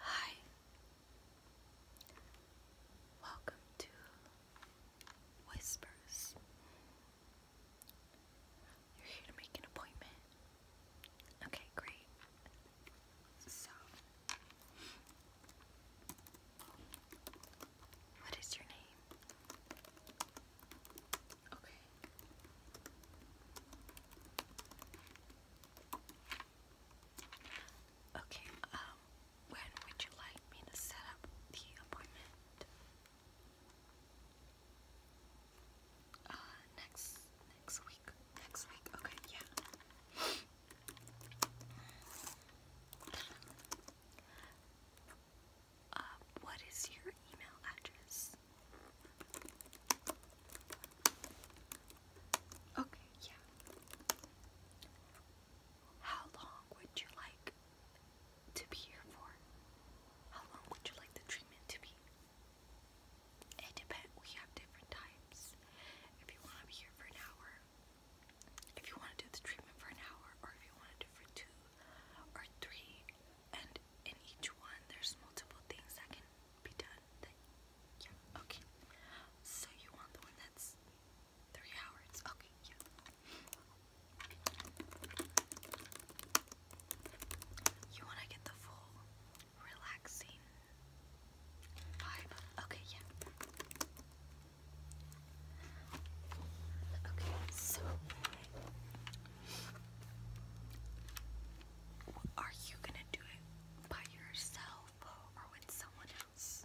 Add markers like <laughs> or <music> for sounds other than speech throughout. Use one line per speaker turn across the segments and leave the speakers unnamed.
Hi, welcome to Whispers. You're here to make an appointment Okay, great. So, what is your name? Okay. Okay, um, when would you like me to set up the appointment? Uh, next, next week, next week, okay, yeah. Uh, what is your email address? Okay, yeah. How long would you like to be here for? How long would you like the treatment to be? It depends. We have different types. If you want to be here for an hour, if you want to do the treatment for an hour, or if you want to do for two or three, and in each one there's multiple things that can be done. yeah, okay. So you want the one that's three hours? Okay, yeah. You want to get the full relaxing vibe? Okay, yeah. Okay, so are you going to do it by yourself or with someone else?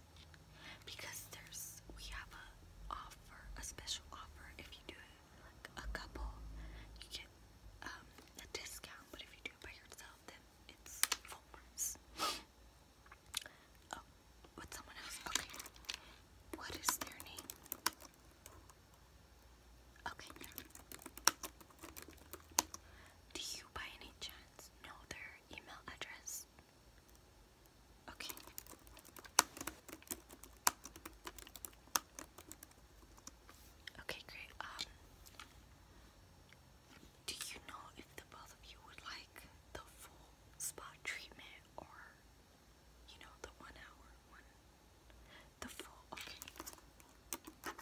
Because there's we have a offer, a special offer if you do it like a couple, you get um, a discount. But if you do it by yourself, then it's full price. oh, with someone else. Okay. What is their name? Okay. Do you by any chance know their email address? Okay. Okay, great. Um, do you know if the both of you would like the full spa treatment or, you know, the one hour The full, okay. At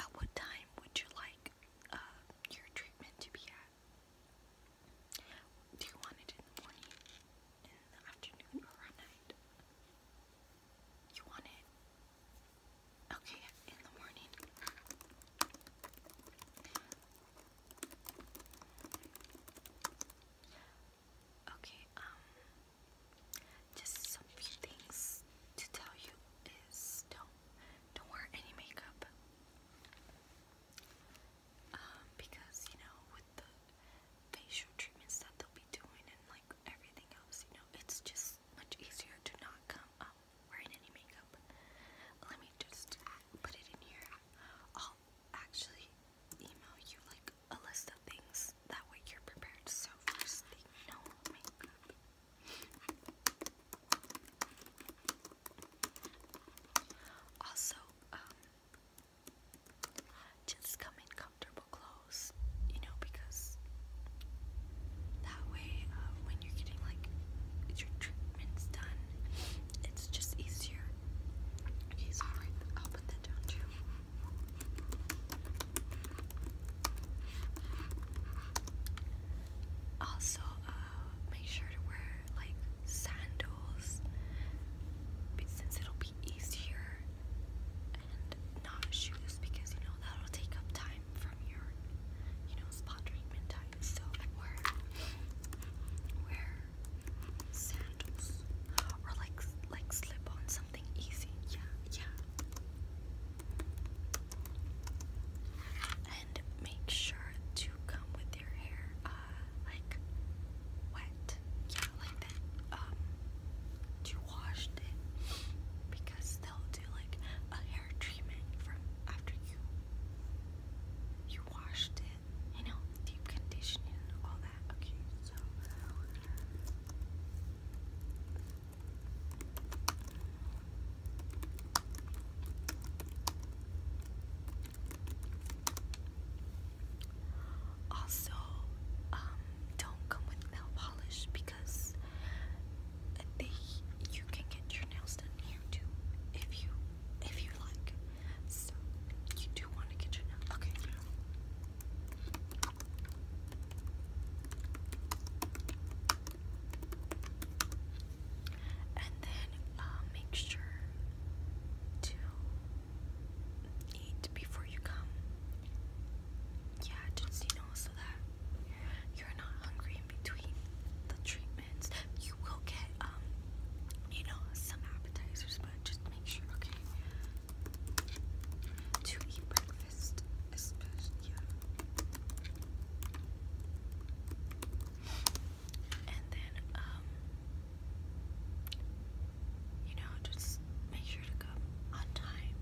uh, what time would you like uh, your treatment to be at? Do you want it in the morning, in the afternoon, or at night? You want it? Okay, in the morning. Okay, um, just some few things to tell you is don't don't wear any makeup um, because you know with the facial treatments that they'll be doing and like everything else, you know, it's just much easier to not come up wearing any makeup. Let me just put it in here. I'll actually email you like a list of things that way you're prepared. So first no makeup. Also, um, just come in comfortable clothes, you know, because that way um, when you're getting like your treatments done, it's just easier. Okay, sorry, I'll put that down too. Also, uh, make sure to wear like sandals, but since it'll be easier and not shoes because you know that'll take up time from your you know spa treatment time. So wear wear sandals or like like slip on something easy. Yeah, yeah make sure to come with your hair uh, like wet. Yeah, like that. Um you washed it because they'll do like a hair treatment from after you you washed it, you know, deep conditioning all that. Okay, so also, um, don't come with nail polish because they you can get your nails done here too if you if you like. So you do want to get your nails okay. And then uh, make sure to eat before you come. Yeah, just you know, so that you're not hungry in between the treatments. You will get, um, you know, some appetizers, but just make sure, okay, to eat breakfast, especially, yeah. And then, um, you know, just make sure to come on time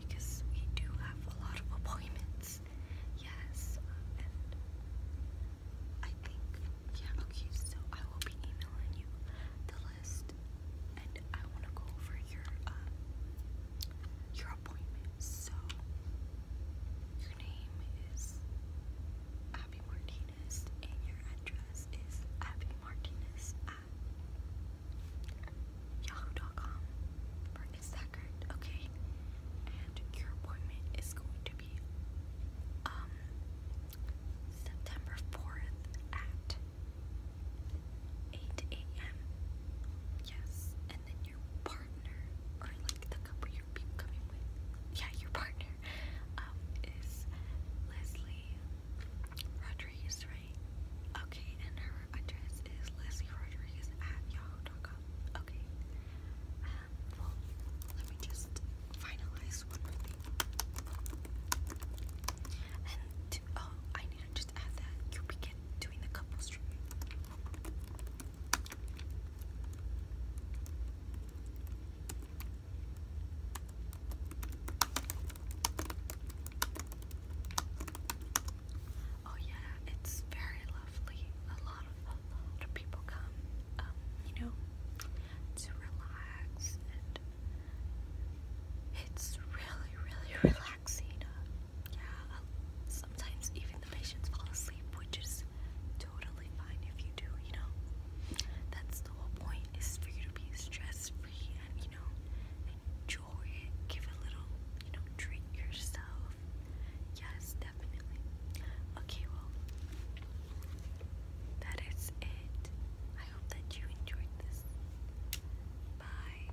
because we do have a lot of appointments. Yes, uh, and I think, yeah, okay, so I will be emailing you the list and I want to go over your, um, appointment. So, your name is Abby Martinez, and your address is Abby Martinez at yahoo.com. Is that Okay. And your appointment is going to be um, September 4th at 8 a.m. Yes, and then your parking partner you're coming with, yeah, your partner, um, is Leslie Rodriguez, right? Okay, and her address is Leslie Rodriguez at yahoo.com. Okay, um, well, let me just finalize one more thing. And oh, I need to just add that you begin Oh yeah, it's very lovely. A lot of a lot of people come, um, you know, to relax and it's really, really <laughs> relaxing. Uh, yeah, I'll, uh, sometimes even the patients fall asleep, which is totally fine if you do, you know. That's the whole point is for you to be stress free and, you know, enjoy it. Give a little, you know, treat yourself. Yes, definitely. Okay, well, that is it. I hope that you enjoyed this. Bye.